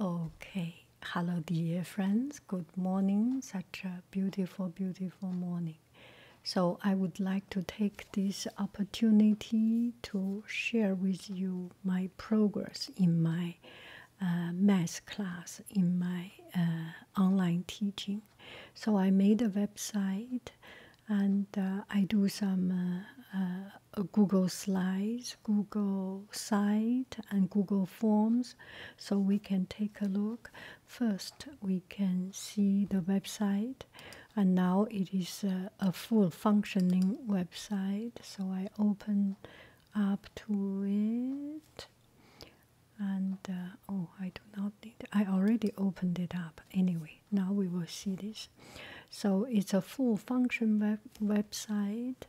Okay, hello, dear friends. Good morning. Such a beautiful, beautiful morning. So, I would like to take this opportunity to share with you my progress in my uh, math class, in my uh, online teaching. So, I made a website and uh, I do some uh, Google Slides, Google Site, and Google Forms, so we can take a look. First, we can see the website, and now it is a, full functioning website. So I open up to it, and uh, oh, I do not need. I already opened it up anyway. Now we will see this. So it's a full function web website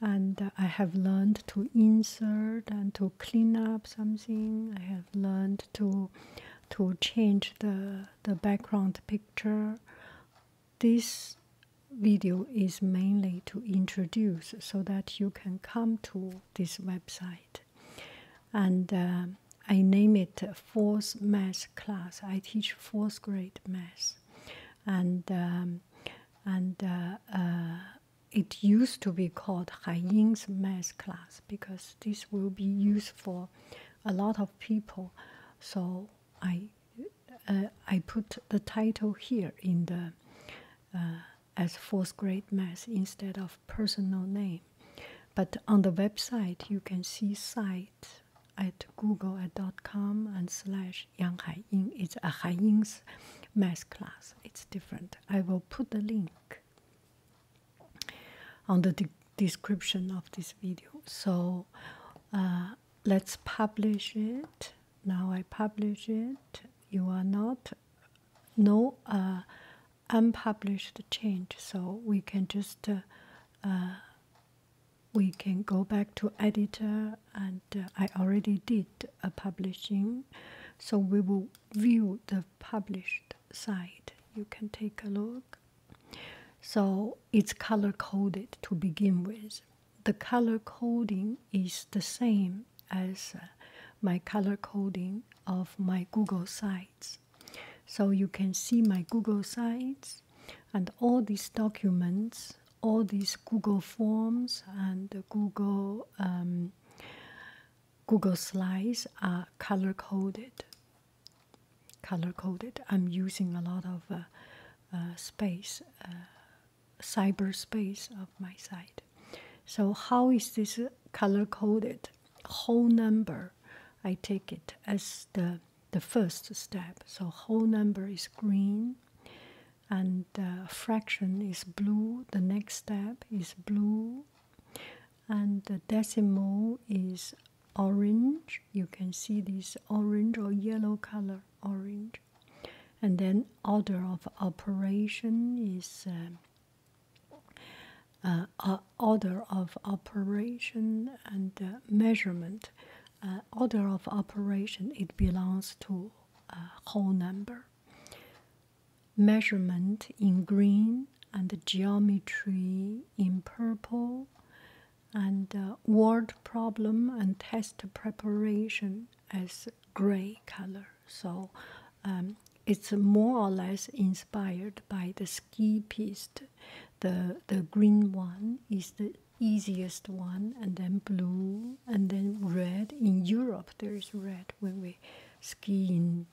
and I have learned to insert and to clean up something. I have learned to to change the the background picture. This video is mainly to introduce so that you can come to this website and uh, I name it fourth math class. I teach fourth grade math and um, and uh, uh, it used to be called Haiying's math class because this will be used for a lot of people. So I uh, I put the title here in the as fourth grade math instead of personal name. But on the website you can see site at google.com and slash Yang Hai Ying. It's a Hai Ying's math class. It's different. I will put the link on the description of this video. So uh, let's publish it. Now I publish it. You are not no uh, unpublished change, so we can just uh, we can go back to editor and uh, I already did a publishing so we will view the published side you can take a look so it's color coded to begin with the color coding is the same as uh, my color coding of my Google Sites so you can see my Google Sites and all these documents all these Google Forms and Google um, Google Slides are color coded. Color coded. I'm using a lot of uh, uh, space, uh, cyberspace of my site. So how is this color coded? Whole number, I take it as the the first step. So whole number is green and uh, fraction is blue. The next step is blue and the decimal is orange. You can see this orange or yellow color orange. And then order of operation is uh, uh, order of operation and uh, measurement. Uh, order of operation, it belongs to a uh, whole number. Measurement in green and geometry in purple, and uh, word problem and test preparation as gray color. So um, it's more or less inspired by the ski piece. The, the green one is the easiest one, and then blue, and then red. In Europe, there is red when we ski in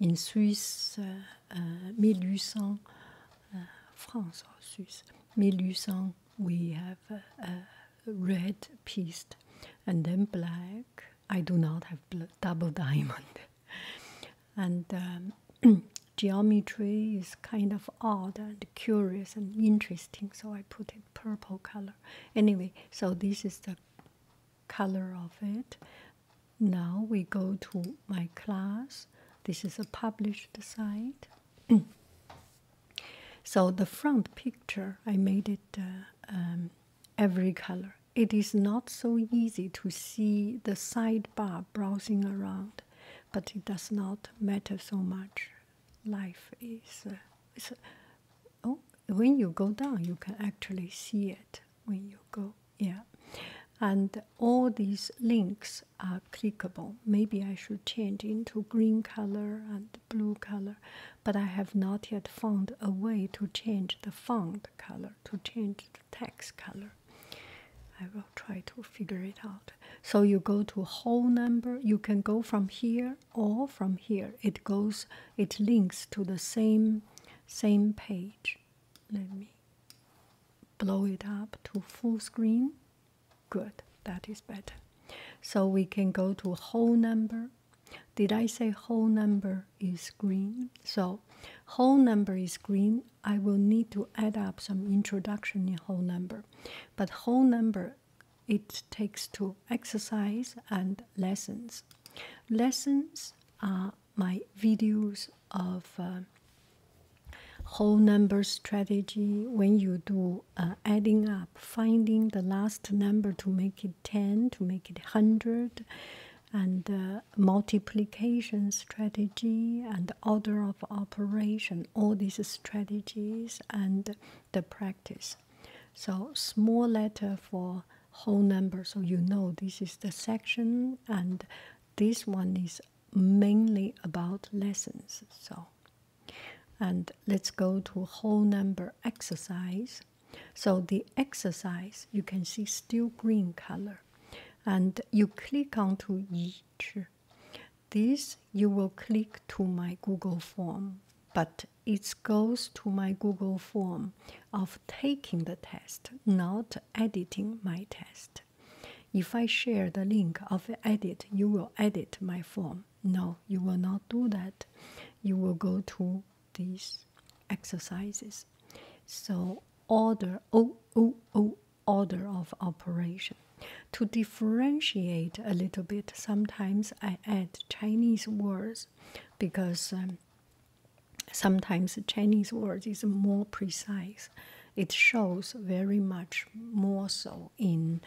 in Swiss, uh, uh, uh, France or Swiss, 1800, we have uh, red piste, and then black. I do not have double diamond, and um, geometry is kind of odd and curious and interesting, so I put it purple color. Anyway, so this is the color of it. Now we go to my class. This is a published site. so the front picture, I made it uh, um, every color. It is not so easy to see the sidebar browsing around but it does not matter so much. Life uh, is. oh, when you go down, you can actually see it when you go. Yeah. And all these links are clickable. Maybe I should change into green color and blue color, but I have not yet found a way to change the font color, to change the text color try to figure it out. So you go to whole number, you can go from here or from here. It goes, it links to the same same page. Let me blow it up to full screen. Good, that is better. So we can go to whole number. Did I say whole number is green? So whole number is green I will need to add up some introduction in whole number. But whole number, it takes to exercise and lessons. Lessons are my videos of uh, whole number strategy when you do uh, adding up, finding the last number to make it 10, to make it 100, and uh, multiplication strategy and order of operation, all these strategies and the practice. So small letter for whole number, so you know this is the section, and this one is mainly about lessons. So, and let's go to whole number exercise. So the exercise you can see still green color, and you click onto each. This you will click to my Google form, but it goes to my Google form of taking the test, not editing my test. If I share the link of edit, you will edit my form. No, you will not do that. You will go to these exercises. So order O oh, O oh, O oh, order of operation. To differentiate a little bit, sometimes I add Chinese words because um, sometimes the Chinese words is more precise. It shows very much more so in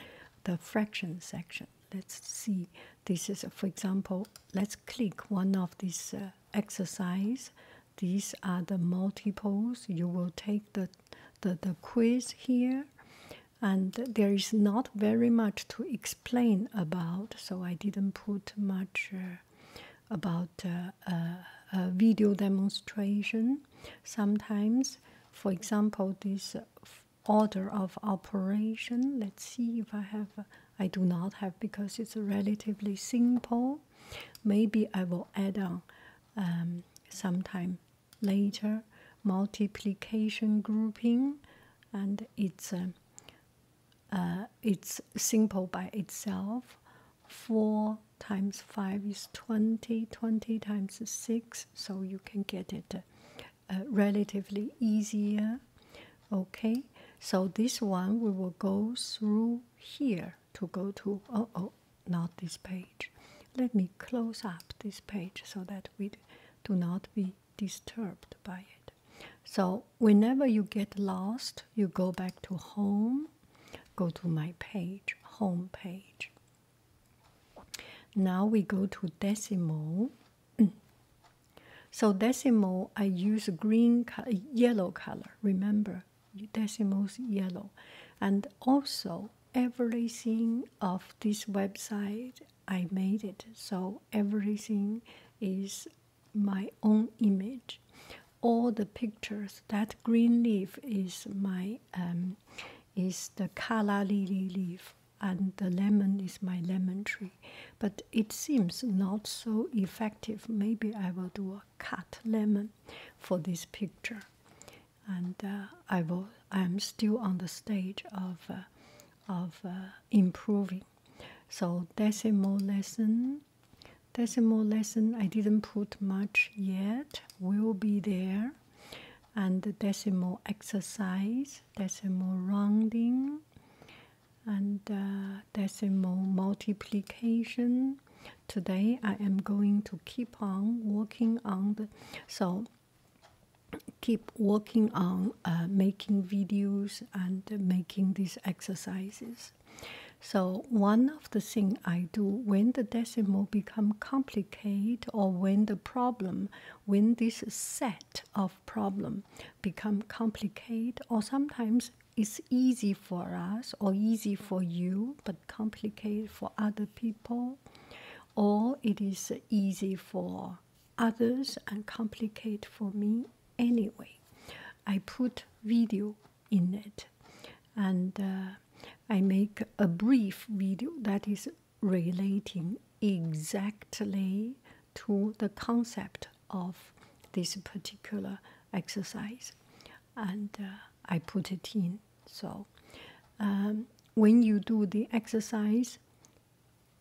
the fraction section. Let's see. This is, for example, let's click one of these uh, exercise. These are the multiples. You will take the the, the quiz here, and there is not very much to explain about, so I didn't put much uh, about uh, a video demonstration. Sometimes, for example, this order of operation, let's see if I have. I do not have because it's relatively simple. Maybe I will add on um, sometime later multiplication grouping and it's uh, uh, it's simple by itself 4 times 5 is 20 20 times 6 so you can get it uh, uh, relatively easier okay so this one we will go through here to go to oh oh not this page. Let me close up this page so that we do not be disturbed by it. So, whenever you get lost, you go back to home, go to my page, home page. Now we go to decimal. so, decimal, I use green, yellow color, remember are decimals yellow and also everything of this website i made it so everything is my own image all the pictures that green leaf is my um, is the kala lily leaf and the lemon is my lemon tree but it seems not so effective maybe i will do a cut lemon for this picture and uh, I will, I'm still on the stage of, uh, of uh, improving. So decimal lesson, decimal lesson I didn't put much yet, will be there. And decimal exercise, decimal rounding, and decimal multiplication today I am going to keep on working on the so keep working on uh, making videos and making these exercises. So one of the things I do when the decimal become complicated or when the problem, when this set of problem become complicated or sometimes it's easy for us or easy for you but complicated for other people, or it is easy for others and complicated for me anyway. I put video in it and uh, I make a brief video that is relating exactly to the concept of this particular exercise and uh, I put it in. So, um, when you do the exercise,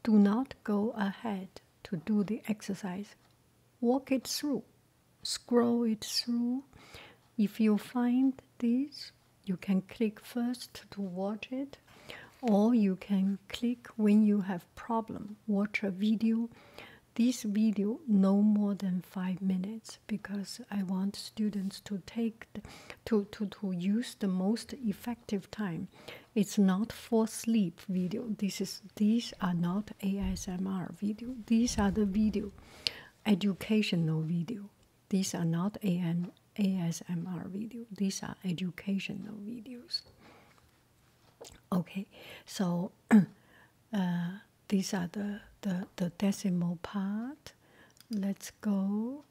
do not go ahead to do the exercise. Walk it through, scroll it through. If you find this, you can click first to watch it, or you can click when you have problem. Watch a video. This video no more than five minutes because I want students to take to, to to use the most effective time. It's not for sleep video. This is these are not ASMR video. These are the video, educational video. These are not AM, ASMR video. These are educational videos. Okay, so. Uh, these are the, the, the decimal part. Let's go.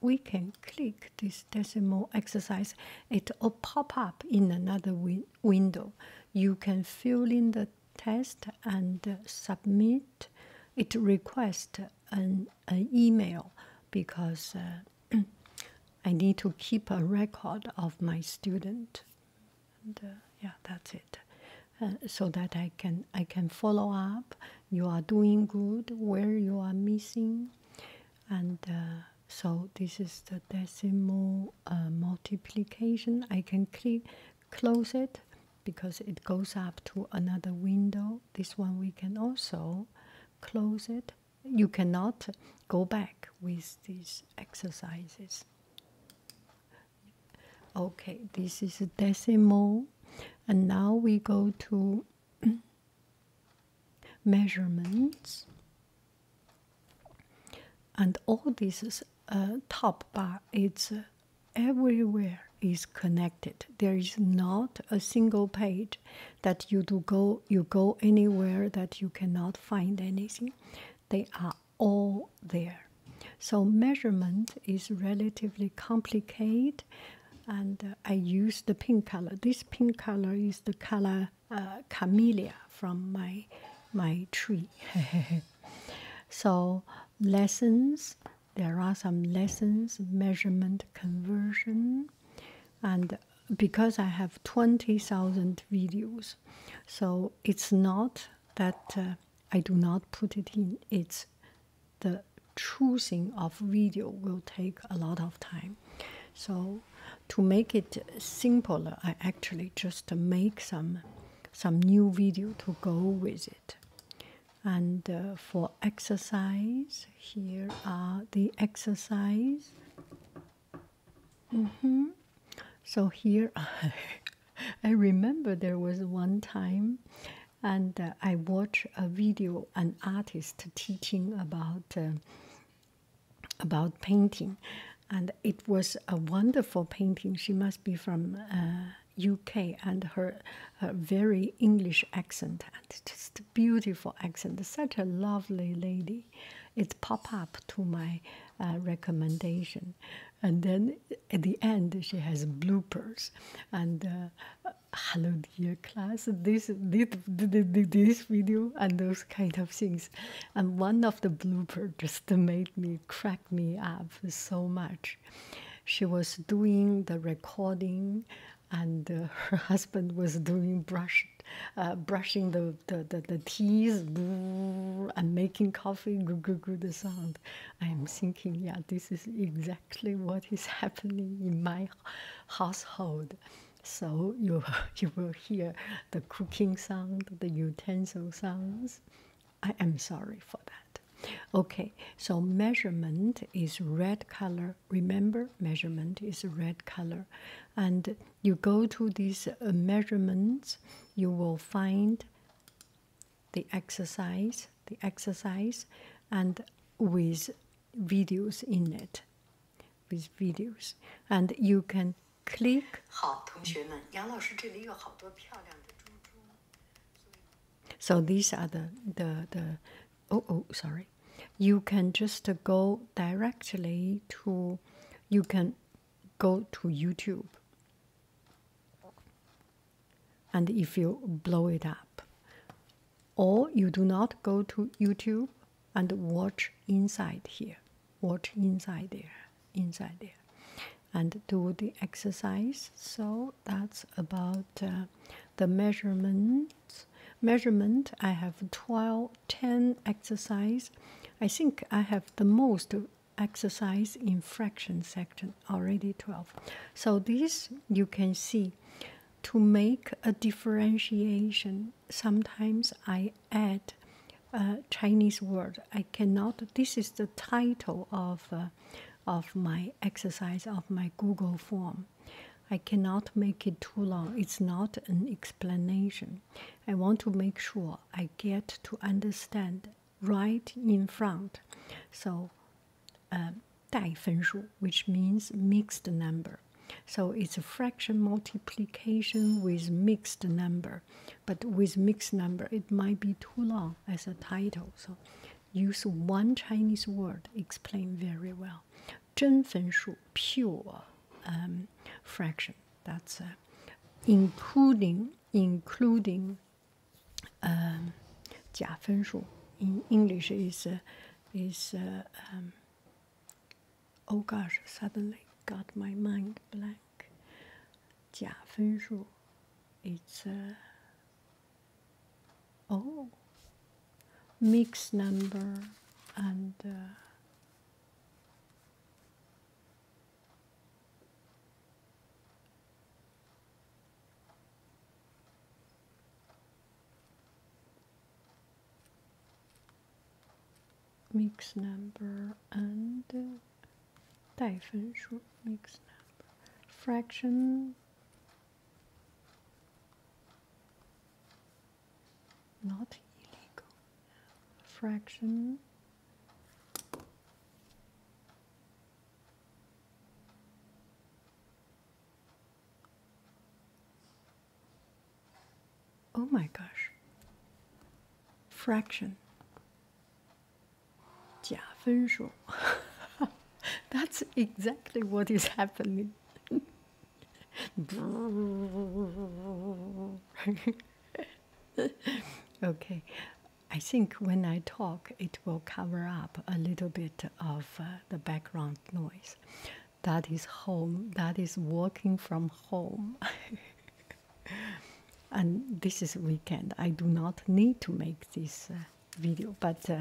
We can click this decimal exercise. It will pop up in another window. You can fill in the test and submit. It requests an, an email because uh, I need to keep a record of my student. Uh, yeah, that's it. Uh, so that I can I can follow up you are doing good where you are missing and uh, so this is the decimal uh, multiplication I can close it because it goes up to another window this one we can also close it you cannot go back with these exercises Okay, this is decimal, and now we go to measurements, and all this uh, top bar is uh, everywhere is connected. There is not a single page that you do go you go anywhere that you cannot find anything. They are all there. So measurement is relatively complicated, and uh, I use the pink color. This pink color is the color uh, camellia from my my tree. so lessons. There are some lessons, measurement, conversion, and because I have twenty thousand videos, so it's not that uh, I do not put it in. It's the choosing of video will take a lot of time. So to make it simpler, I actually just make some some new video to go with it. And uh, for exercise, here are the exercise. Mm-hmm. So here I remember there was one time, and uh, I watched a video an artist teaching about uh, about painting, and it was a wonderful painting. She must be from UK, uh, and her, very English accent and just beautiful accent. Such a lovely lady. It pop up to my recommendation and then at the end she has bloopers and uh, hello dear class this this this video and those kind of things and one of the bloopers just made me crack me up so much she was doing the recording and uh, her husband was doing brush uh, brushing the the, the, the teeth and making coffee, good, good, good, the sound. I'm thinking, yeah, this is exactly what is happening in my household. So you you will hear the cooking sound, the utensil sounds. I am sorry for that. Okay, so measurement is red color. Remember, measurement is red color. And you go to these uh, measurements, you will find the exercise, the exercise, and with videos in it, with videos, and you can click. So these are the the the. Oh oh, sorry. You can just go directly to. You can go to YouTube and if you blow it up, or you do not go to YouTube and watch inside here, watch inside there, inside there, and do the exercise. So that's about uh, the measurements. Measurement. I have 12, 10 exercise. I think I have the most exercise in fraction section already 12 so this you can see to make a differentiation sometimes i add a uh, chinese word i cannot this is the title of uh, of my exercise of my google form i cannot make it too long it's not an explanation i want to make sure i get to understand right in front. So, um, which means mixed number. So it's a fraction multiplication with mixed number, but with mixed number it might be too long as a title. So use one Chinese word explain very well. 真分数 pure um, fraction. That's uh, including including um, 假分数 in English is uh, is um, oh gosh suddenly got my mind blank 假分数 it's uh, oh mixed number and uh, mix number and uh, 带分数 mix number fraction not illegal fraction Oh my gosh. Fraction. 假分数. That's exactly what is happening. okay. I think when I talk, it will cover up a little bit of uh, the background noise. That is home, that is working from home. and this is weekend. I do not need to make this uh, video, but. Uh,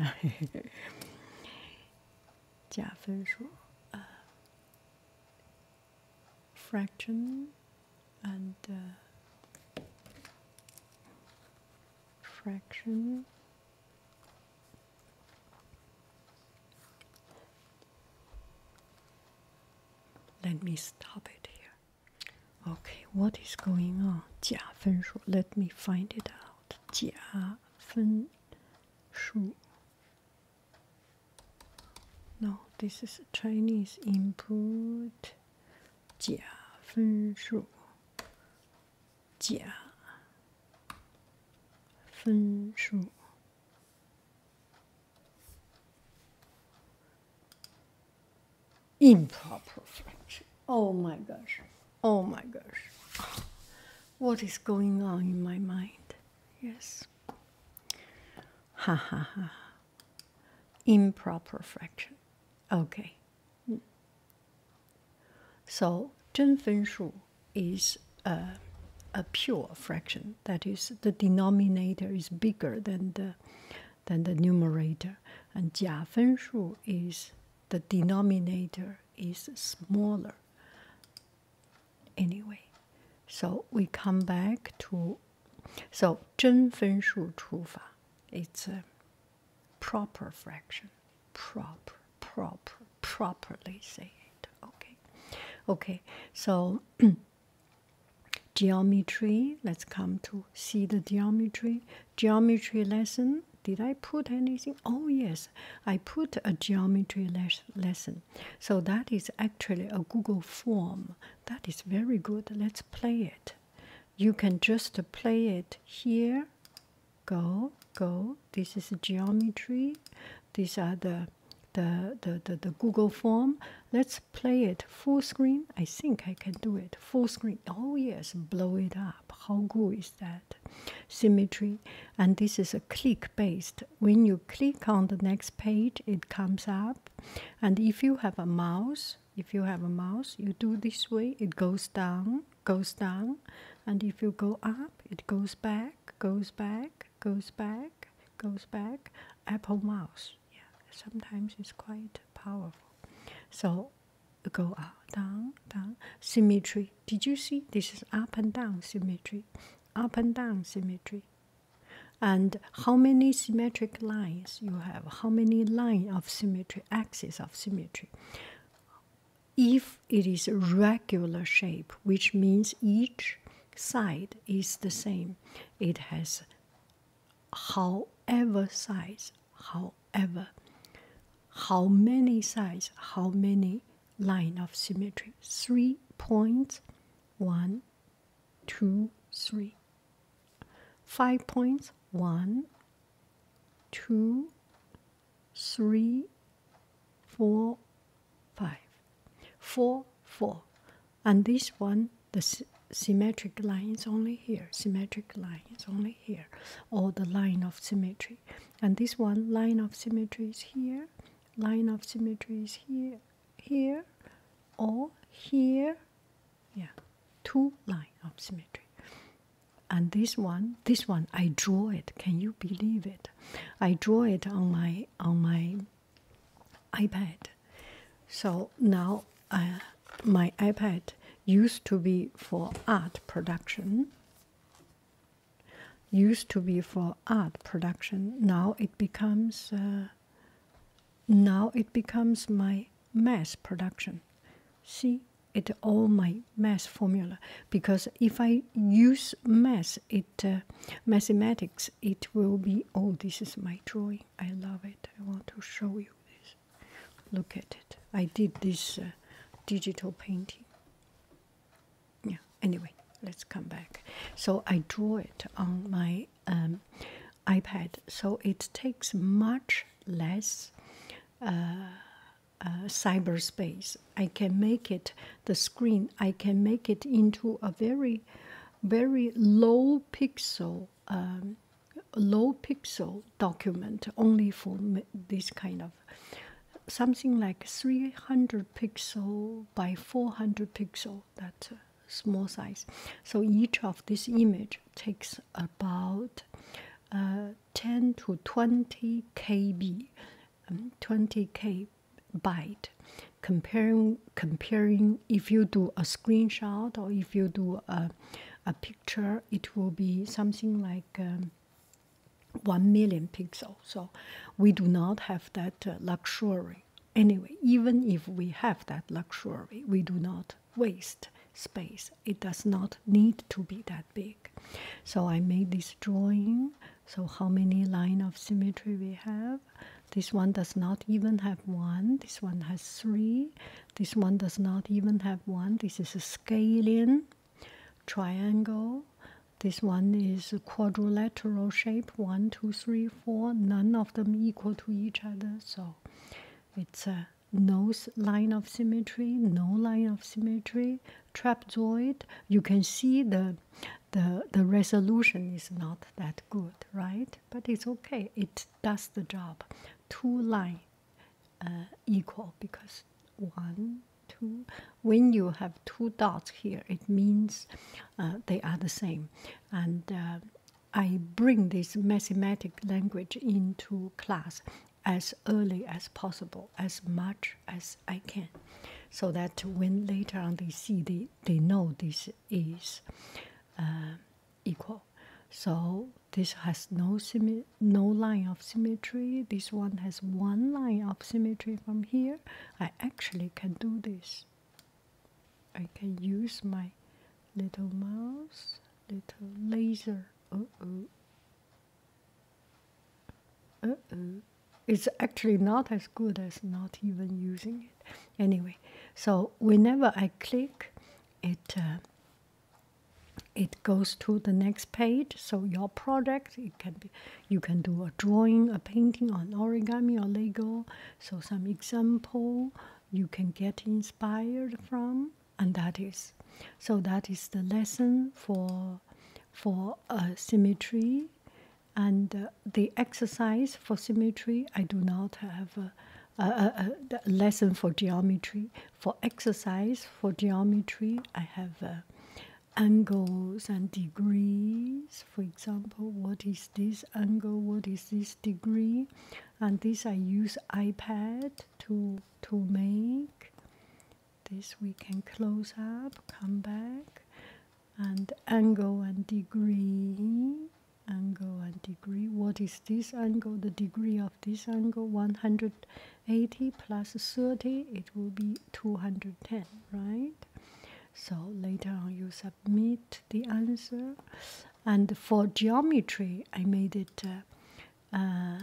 uh fraction and uh, fraction let me stop it here okay what is going on let me find it out 假分数 no this is chinese input 假分数，假分数，improper fraction. Oh my gosh! Oh my gosh! What is going on in my mind? Yes. Ha ha ha. Improper fraction. Okay. So, 真分数 is a, pure fraction. That is, the denominator is bigger than the, than the numerator. And 假分数 is the denominator is smaller. Anyway, so we come back to so, 真分数除法, it's a proper fraction. Proper, properly say it. Okay. Okay, so geometry, let's come to see the geometry. Geometry lesson. Did I put anything? Oh, yes, I put a geometry lesson. So that is actually a Google form. That is very good. Let's play it you can just play it here go go this is geometry these are the the, the the google form let's play it full screen i think i can do it full screen oh yes blow it up how good is that symmetry and this is a click based when you click on the next page it comes up and if you have a mouse if you have a mouse you do this way it goes down goes down and if you go up it goes back goes back goes back goes back apple mouse yeah sometimes it's quite powerful so go up down down symmetry did you see this is up and down symmetry up and down symmetry and how many symmetric lines you have, how many line of symmetry, axis of symmetry. If it is a regular shape, which means each side is the same, it has however size, however, how many sides, how many line of symmetry? Three points, one, two, three five points three, four, five. Four, four. And this one, the symmetric line is only here, symmetric line is only here, or the line of symmetry. And this one, line of symmetry is here, line of symmetry is here, here, or here, yeah, two line of symmetry. And this one, this one, I draw it. Can you believe it? I draw it on my on my iPad. So now uh, my iPad used to be for art production. Used to be for art production. Now it becomes uh, now it becomes my mass production. See, it all my mass formula because if I use mass, it uh, mathematics, it will be. Oh, this is my drawing. I love it. I want to show you this. Look at it. I did this uh, digital painting. Yeah. Anyway, let's come back. So I draw it on my um, iPad, so it takes much less uh, uh, cyberspace. I can make it the screen. I can make it into a very, very low pixel, um, low pixel document only for this kind of something like 300 pixel by 400 pixel That's uh, small size. So each of this image takes about uh, 10 to 20 KB, um, 20 K byte. Comparing, comparing if you do a screenshot or if you do a, a picture, it will be something like um, 1 million pixels. So we do not have that uh, luxury. Anyway, even if we have that luxury, we do not waste space. It does not need to be that big. So I made this drawing. So how many line of symmetry we have? This one does not even have one. This one has three. This one does not even have one. This is a scalene triangle. This one is a quadrilateral shape, one, two, three, four, none of them equal to each other. So it's a no line of symmetry, no line of symmetry, trapezoid. You can see the the the resolution is not that good, right? But it's okay. It does the job. Two line uh, equal because one, two. When you have two dots here, it means uh, they are the same, and. Uh, I bring this mathematic language into class as early as possible, as much as I can, so that when later on they see they, they know this is uh, equal. So this has no no line of symmetry. This one has one line of symmetry from here. I actually can do this. I can use my little mouse, little laser. Uh oh. Uh oh. It's actually not as good as not even using it. Anyway, so whenever I click, it. Uh, it goes to the next page so your project it can you can do a drawing a painting or an origami or lego so some example you can get inspired from and that is so that is the lesson for for uh, symmetry and uh, the exercise for symmetry i do not have a, a, a, lesson for geometry for exercise for geometry i have uh, angles and degrees for example what is this angle what is this degree and this I use iPad to to make. This we can close up, come back, and angle and degree, angle and degree. What is this angle? The degree of this angle 180 plus 30, it will be 210, right? So later on, use Meet the answer. And for geometry, I made it uh, uh,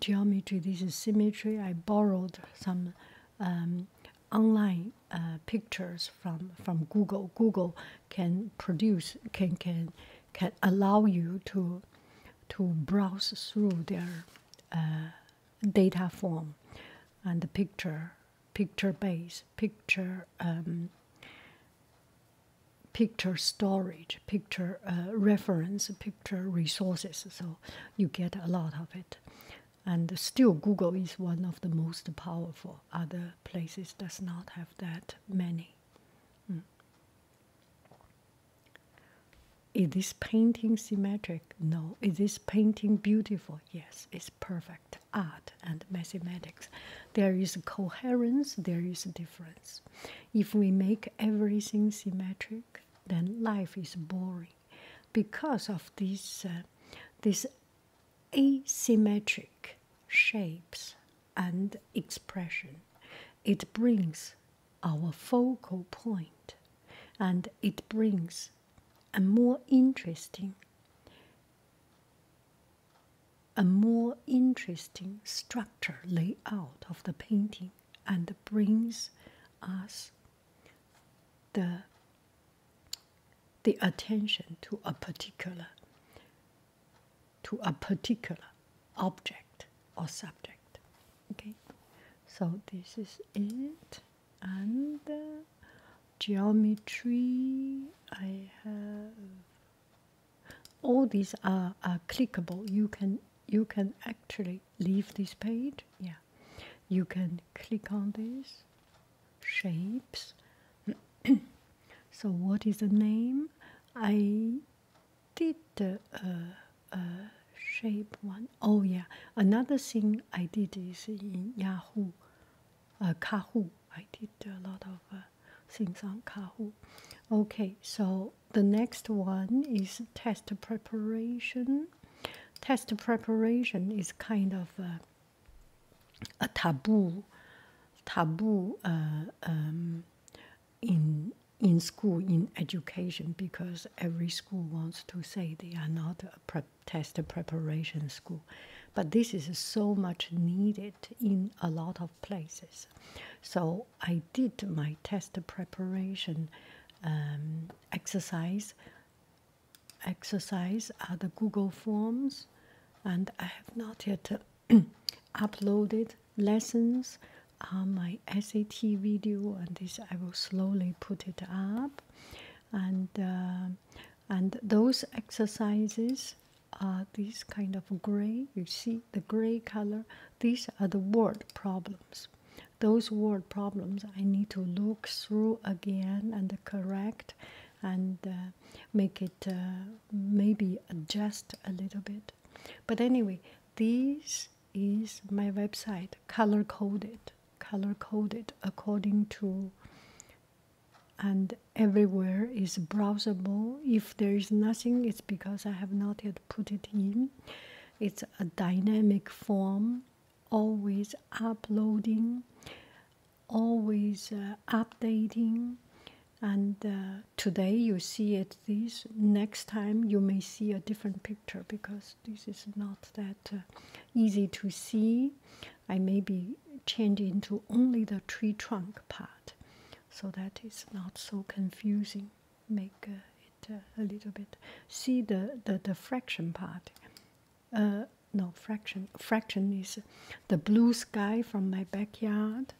geometry. This is symmetry. I borrowed some um, online uh, pictures from from Google. Google can produce can can can allow you to to browse through their data form and the picture picture base picture um, picture storage, picture uh, reference, picture resources. So you get a lot of it. And still, Google is one of the most powerful. Other places does not have that many. Hmm. Is this painting symmetric? No. Is this painting beautiful? Yes, it's perfect art and mathematics. There is coherence, there is difference. If we make everything symmetric, then life is boring. Because of these, uh, these asymmetric shapes and expression, it brings our focal point and it brings a more interesting a more interesting structure layout of the painting and brings us the, the attention to a particular to a particular object or subject. Okay, so this is it, and uh, geometry I have all these are, clickable you can you can actually leave this page yeah you can click on these shapes so what is the name i did the uh, uh, shape one. Oh yeah another thing i did is in yahoo uh, Kahoo. I did a lot of uh, things on Kahoo. Okay, so the next one is test preparation. Test preparation is kind of uh, a, taboo, taboo uh, um, in in school in education because every school wants to say they are not a test preparation school but this is so much needed in a lot of places so i did my test preparation um, exercise exercise are the google forms and i have not yet uploaded lessons on my sat video and this i will slowly put it up and uh, and those exercises uh, these kind of gray, you see the gray color, these are the word problems. Those word problems I need to look through again and correct and uh, make it uh, maybe adjust a little bit. But anyway, this is my website color coded, color coded according to and everywhere is browsable. If there is nothing, it's because I have not yet put it in. It's a dynamic form, always uploading, always uh, updating. And uh, today you see it this, next time you may see a different picture because this is not that uh, easy to see. I may be changing into only the tree trunk part, so that it's not so confusing. Make uh, it uh, a little bit. See the the, the fraction part. Uh, no fraction. Fraction is the blue sky from my backyard.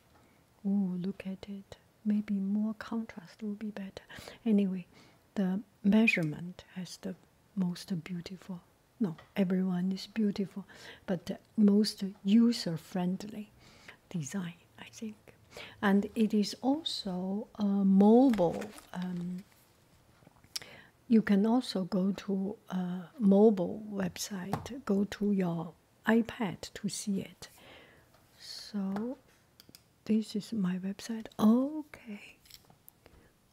Oh, look at it. Maybe more contrast will be better. Anyway, the measurement has the most beautiful no, everyone is beautiful, but the uh, most user friendly design, I think. And it is also a uh, mobile. Um, you can also go to a uh, mobile website, go to your iPad to see it. So, this is my website. Okay.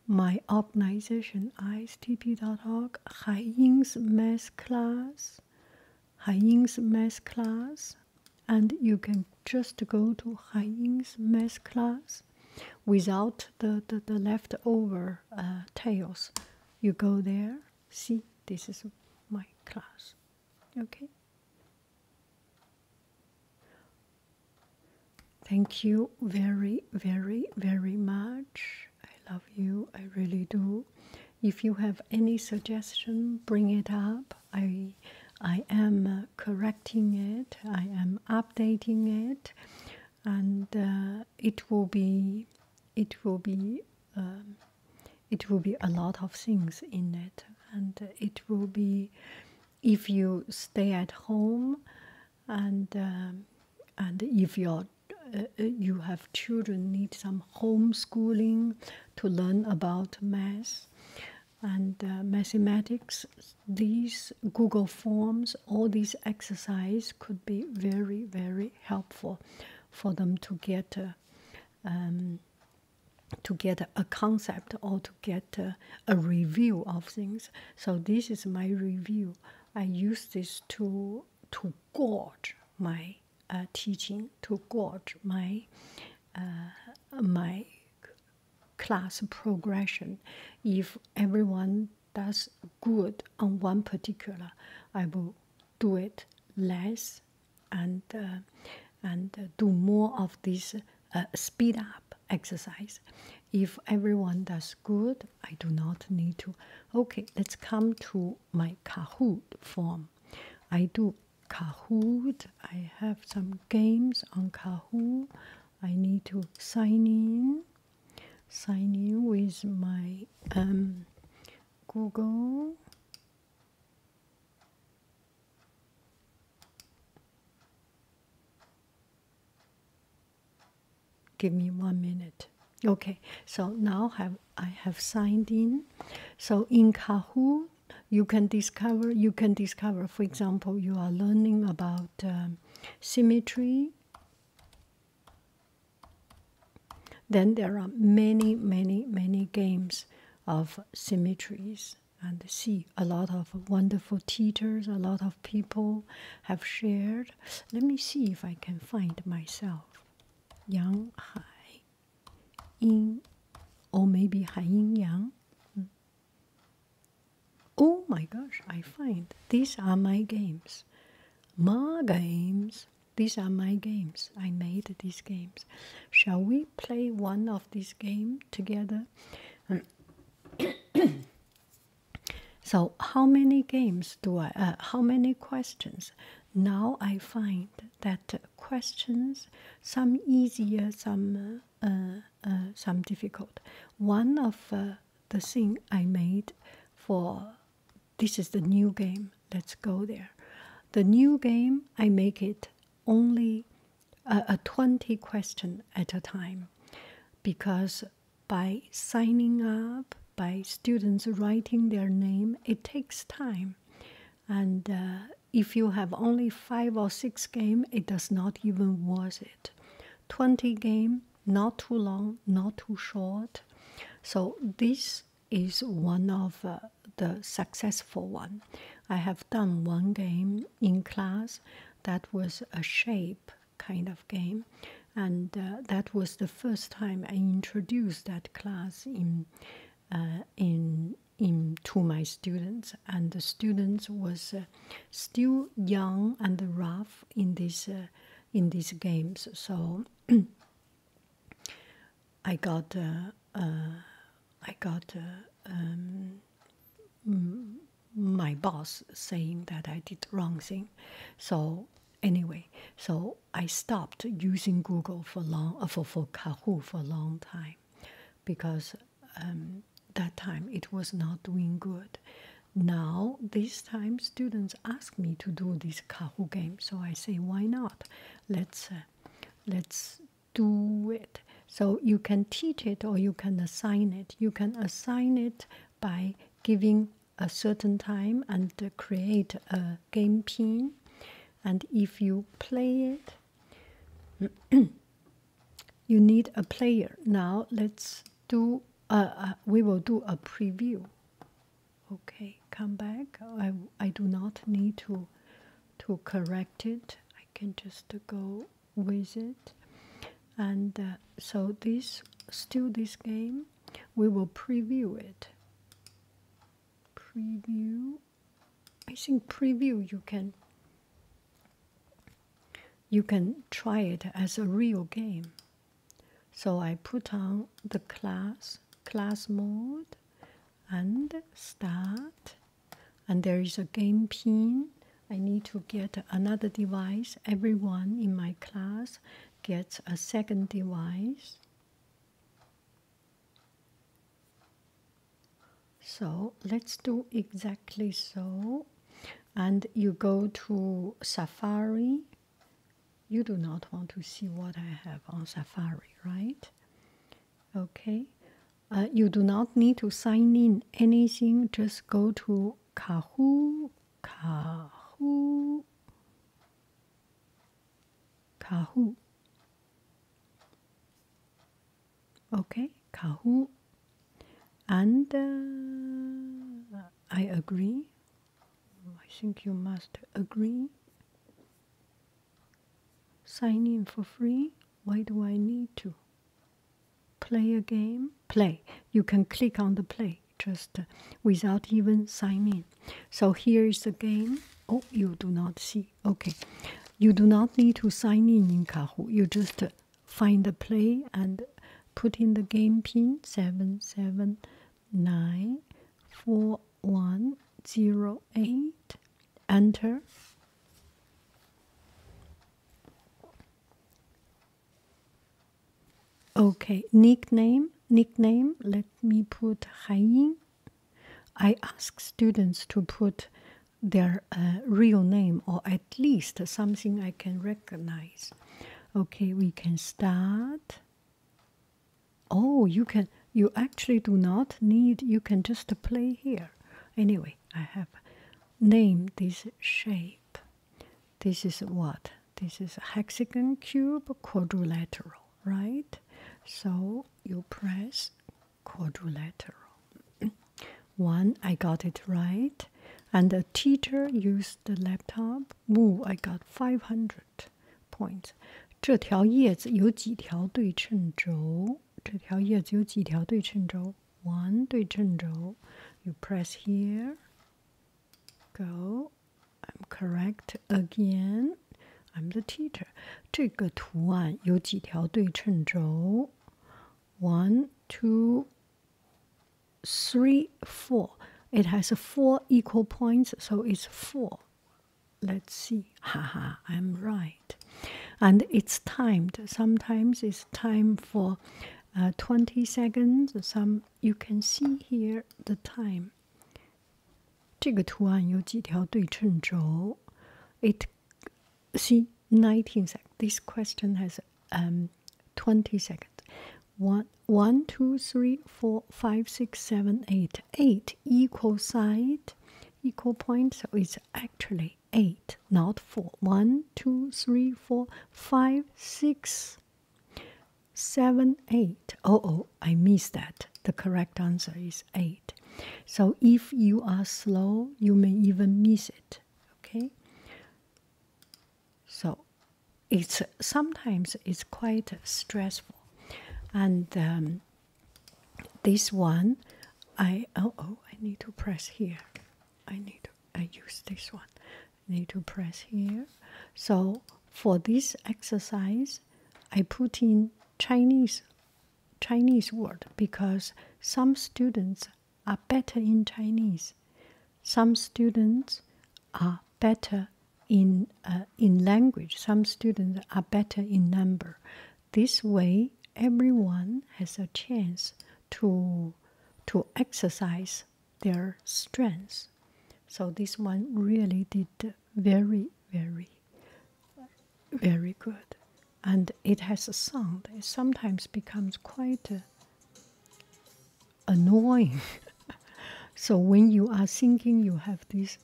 My organization, istp.org took Hai Ying's math class, Hai Ying's math class, and you can just go to Hai Ying's math class without the, the, the leftover uh, tails. You go there, see, this is my class. Okay? Thank you very, very, very much. I love you, I really do. If you have any suggestion, bring it up. I, I am uh, correcting it, I am updating it, and uh, it will be, it will be, um, it will be a lot of things in it, and it will be, if you stay at home, and um, and if you're uh, you have children need some homeschooling to learn about math and uh, mathematics these google forms all these exercise could be very very helpful for them to get uh, um, to get a concept or to get a, a review of things so this is my review i use this to to to my uh, teaching, to gauge my uh, my class progression. If everyone does good on one particular, I will do it less and uh, and do more of this speed up exercise. If everyone does good I do not need to. Okay, let's come to my Kahoot form. I do Kahoot. I have some games on Kahoot. I need to sign in. Sign in with my um, Google. Give me one minute. Okay, so now have, I have signed in. So in Kahoot, you can discover. You can discover. For example, you are learning about um, symmetry. Then there are many, many, many games of symmetries and see a lot of wonderful teachers, a lot of people have shared. Let me see if I can find myself. Yang Hai Yin, or maybe Hai Yin Yang. Hmm. Oh my gosh, I find these are my games. My games. These are my games. I made these games. Shall we play one of these games together? So how many games do I? Uh, how many questions? Now I find that questions some easier, some uh, uh, some difficult. One of the thing I made for this is the new game. Let's go there. The new game I make it only a twenty question at a time, because by signing up, by students writing their name. It takes time. And uh, if you have only five or six game, it does not even worth it. 20 game, not too long, not too short. So this is one of uh, the successful one. I have done one game in class that was a shape kind of game, and uh, that was the first time I introduced that class in uh, in in to my students, and the students was uh, still young and rough in this in these games, so. I got I got um, my boss saying that I did wrong thing, so anyway, so I stopped using Google for long uh, for for Kahoo for a long time because um, that time it was not doing good. Now this time students ask me to do this Kahoo game, so I say why not? Let's uh, let's do it. So you can teach it or you can assign it. You can assign it by giving a certain time and create a game pin and if you play it you need a player now let's do we will do a preview okay come back i i do not need to to correct it i can just go with it and uh, so this still this game we will preview it. Preview. I think preview you can you can try it as a real game. So I put on the class class mode and start and there is a game pin. I need to get another device. Everyone in my class gets a second device. So let's do exactly so. And you go to Safari. You do not want to see what I have on Safari, right? Okay. Uh, you do not need to sign in anything, just go to Kahoo Kahoo. Kahoo. Okay, Kahu, And uh, I agree. I think you must agree. Sign in for free. Why do I need to? Play a game? Play. You can click on the play just without even signing. So here is the game. Oh, you do not see. Okay, you do not need to sign in in Kahoo. You just find the play and put in the game pin seven seven nine four one zero eight. Enter. Okay, nickname, nickname. Let me put Haiying. I ask students to put their uh, real name or at least something I can recognize. Okay, we can start. Oh, you can. You actually do not need. You can just play here. Anyway, I have named this shape. This is what this is a hexagon cube, quadrilateral, right? So you press quadrilateral. One, I got it right. And the teacher used the laptop. Woo, I got 500 points. 这条叶子有几条对称轴？这条叶子有几条对称轴？One 对称轴。You press here go. I'm correct again. I'm the teacher. 这个图案有几条对称轴？One, two, One, two, three, four. It has four equal points, so it's four. Let's see. Haha, I'm right. And it's timed. Sometimes it's time for uh, 20 seconds, some you can see here the time. 这个图案有几条对称轴？It see nineteen seconds. This question has um, twenty seconds. One, one, two, three, four, five, six, seven, eight. Eight equal side, equal point. So it's actually eight, not four. One, two, three, four, five, six. 7, 8. Oh, oh, I missed that. The correct answer is 8. So if you are slow, you may even miss it. Okay? So it's sometimes it's quite stressful. And um, this one, I, oh, oh, I need to press here. I need to, I use this one need to press here. So for this exercise, I put in Chinese Chinese word because some students are better in Chinese. Some students are better in uh, in language. Some students are better in number. This way, everyone has a chance to to exercise their strengths. So this one really did very, very, very good. And it has a sound. It sometimes becomes quite uh, annoying. so when you are singing, you have this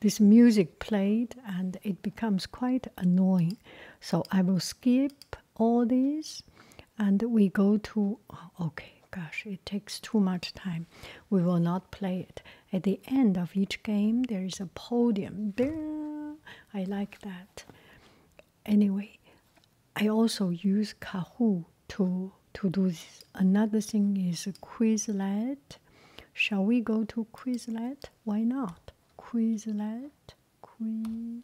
this music played and it becomes quite annoying. So I will skip all these and we go to okay gosh it takes too much time we will not play it at the end of each game there is a podium Bing! i like that anyway i also use kahoo to to do this another thing is quizlet shall we go to quizlet why not quizlet Queen,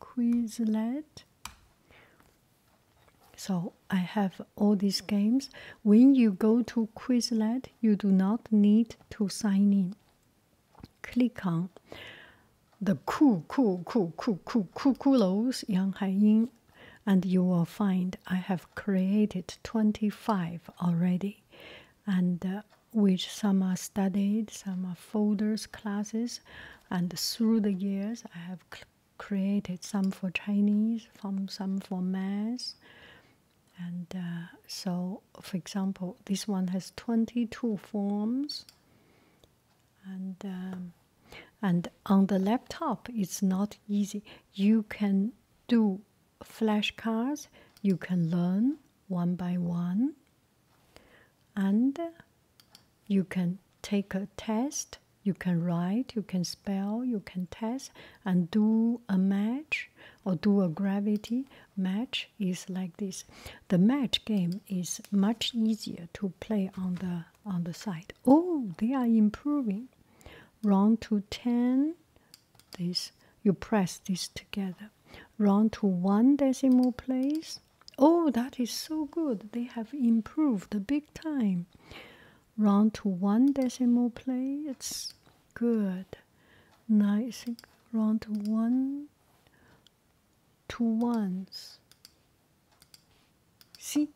Quizlet. So I have all these games. When you go to Quizlet, you do not need to sign in. Click on the cool, cool, cool, cool, cool, cool, coolos, Yang Haiying, and you will find I have created 25 already. And uh, which some are studied, some are folders, classes, and through the years I have created some for Chinese, some for math, and uh, so for example, this one has twenty-two forms, and um, and on the laptop it's not easy. You can do flashcards. You can learn one by one and you can take a test you can write you can spell you can test and do a match or do a gravity match is like this the match game is much easier to play on the on the side oh they are improving round to 10 this you press this together round to one decimal place. Oh, that is so good. They have improved big time. Round to one decimal place. It's Good. Nice. Round to one. Two ones. See?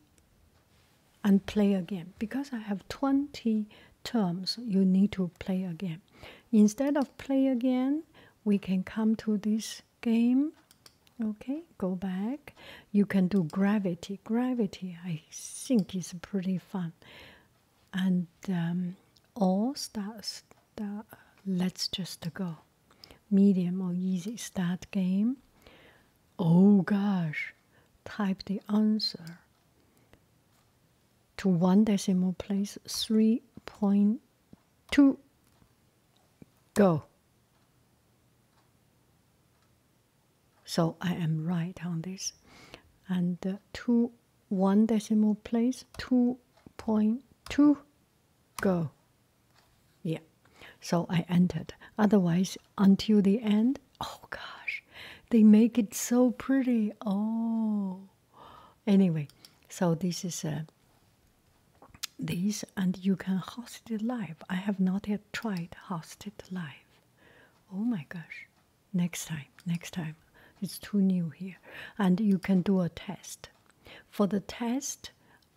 And play again. Because I have 20 terms, you need to play again. Instead of play again, we can come to this game. Okay, go back. You can do gravity. Gravity, I think, is pretty fun. And um, all stars, let's just go. Medium or easy start game. Oh gosh, type the answer to one decimal place 3.0 point one, two, go. So I am right on this. And uh, two, one decimal place, 2.2, go. Yeah, so I entered. Otherwise, until the end, oh gosh, they make it so pretty. Oh. Anyway, so this is uh, this, and you can host it live. I have not yet tried host it live. Oh my gosh! Next time, next time. It's too new here, and you can do a test. For the test,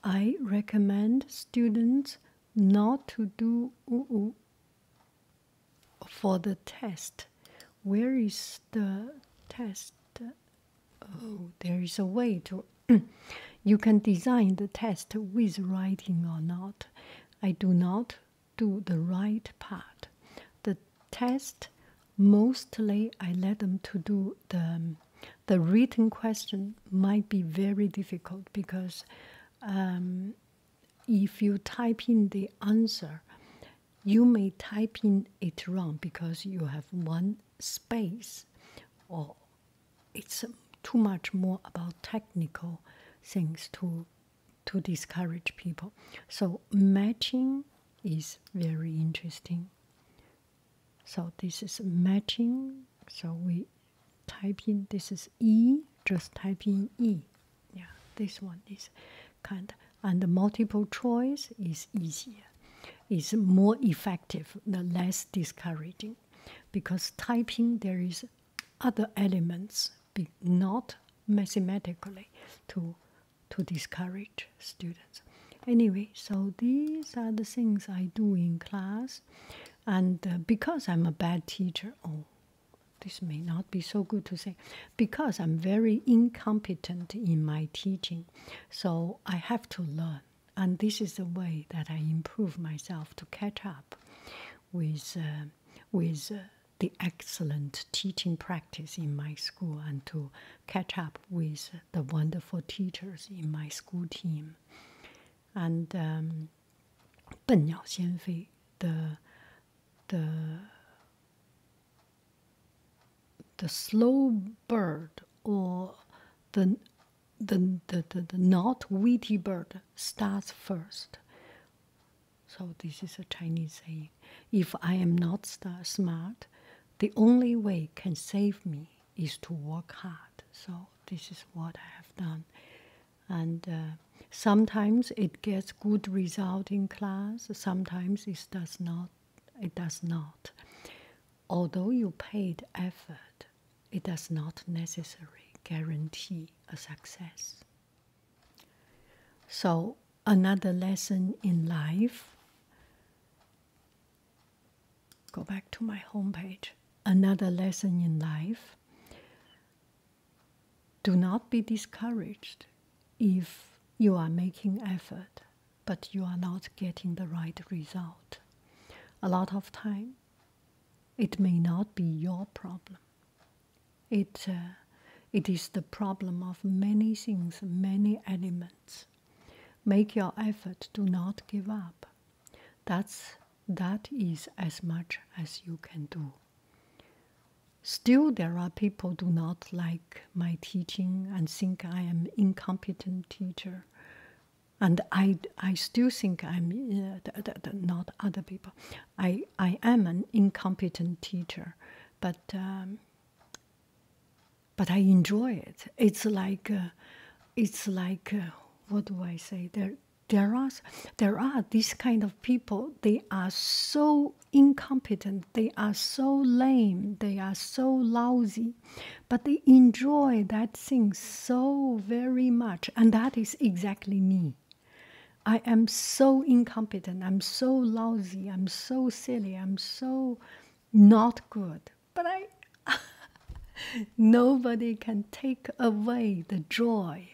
I recommend students not to do. for the test, where is the test? oh, there is a way to. you can design the test with writing or not. I do not do the right part. The test mostly I let them to do the the written question might be very difficult because um, if you type in the answer, you may type in it wrong because you have one space or it's um, too much more about technical things to to discourage people so matching is very interesting so this is matching so we type in this is e just type in e yeah this one is kind of and multiple choice is easier, is more effective, the less discouraging, because typing there is other elements, be not mathematically, to to discourage students. Anyway, so these are the things I do in class, and uh, because I'm a bad teacher, oh, this may not be so good to say, because I'm very incompetent in my teaching, so I have to learn. And this is the way that I improve myself to catch up with, uh, with uh, the excellent teaching practice in my school and to catch up with the wonderful teachers in my school team. And um, the, the the slow bird or the the, the, the, not witty bird starts first. So this is a Chinese saying. If I am not smart, the only way can save me is to work hard. So this is what I have done. And uh, sometimes it gets good result in class. Sometimes it does not. It does not. Although you paid effort, it does not necessarily guarantee a success. So, another lesson in life go back to my homepage. Another lesson in life do not be discouraged if you are making effort but you are not getting the right result. A lot of time, it may not be your problem. It, uh, it is the problem of many things, many elements. Make your effort, do not give up. That's, that is as much as you can do. Still, there are people do not like my teaching and think I am incompetent teacher. And I, I still think I'm uh, not other people. I, I am an incompetent teacher, but um, but I enjoy it. It's like uh, it's like uh, what do I say? There there are there are these kind of people. They are so incompetent they are so lame, they are so lousy, but they enjoy that thing so very much, and that is exactly me. I am so incompetent, I'm so lousy, I'm so silly, I'm so not good, but I nobody can take away the joy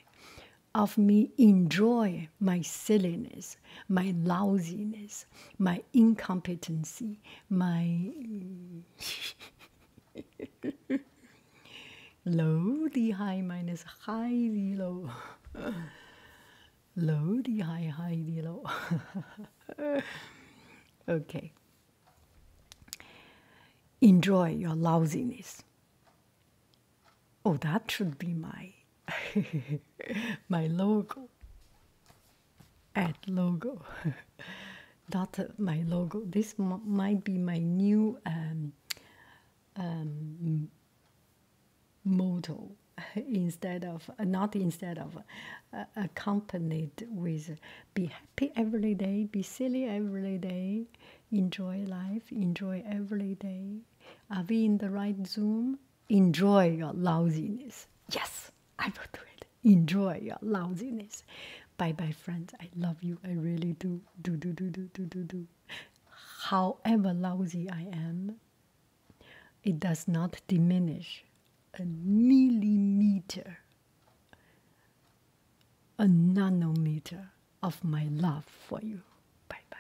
of me enjoy my silliness my lousiness, my incompetency, my low the high minus high the low, low the high high the low. okay. Enjoy your lousiness. Oh, that should be my my logo add logo. Dot my logo. This might be my new um, um, motto instead of not instead of uh, accompanied with be happy every day, be silly every day, enjoy life, enjoy every day. Are we in the right Zoom? enjoy your lousiness. Yes, I will do it. Enjoy your lousiness. Bye bye, friends. I love you. I really do. Do, do, do, do, do, do, do. However lousy I am, it does not diminish a millimeter, a nanometer of my love for you. Bye bye.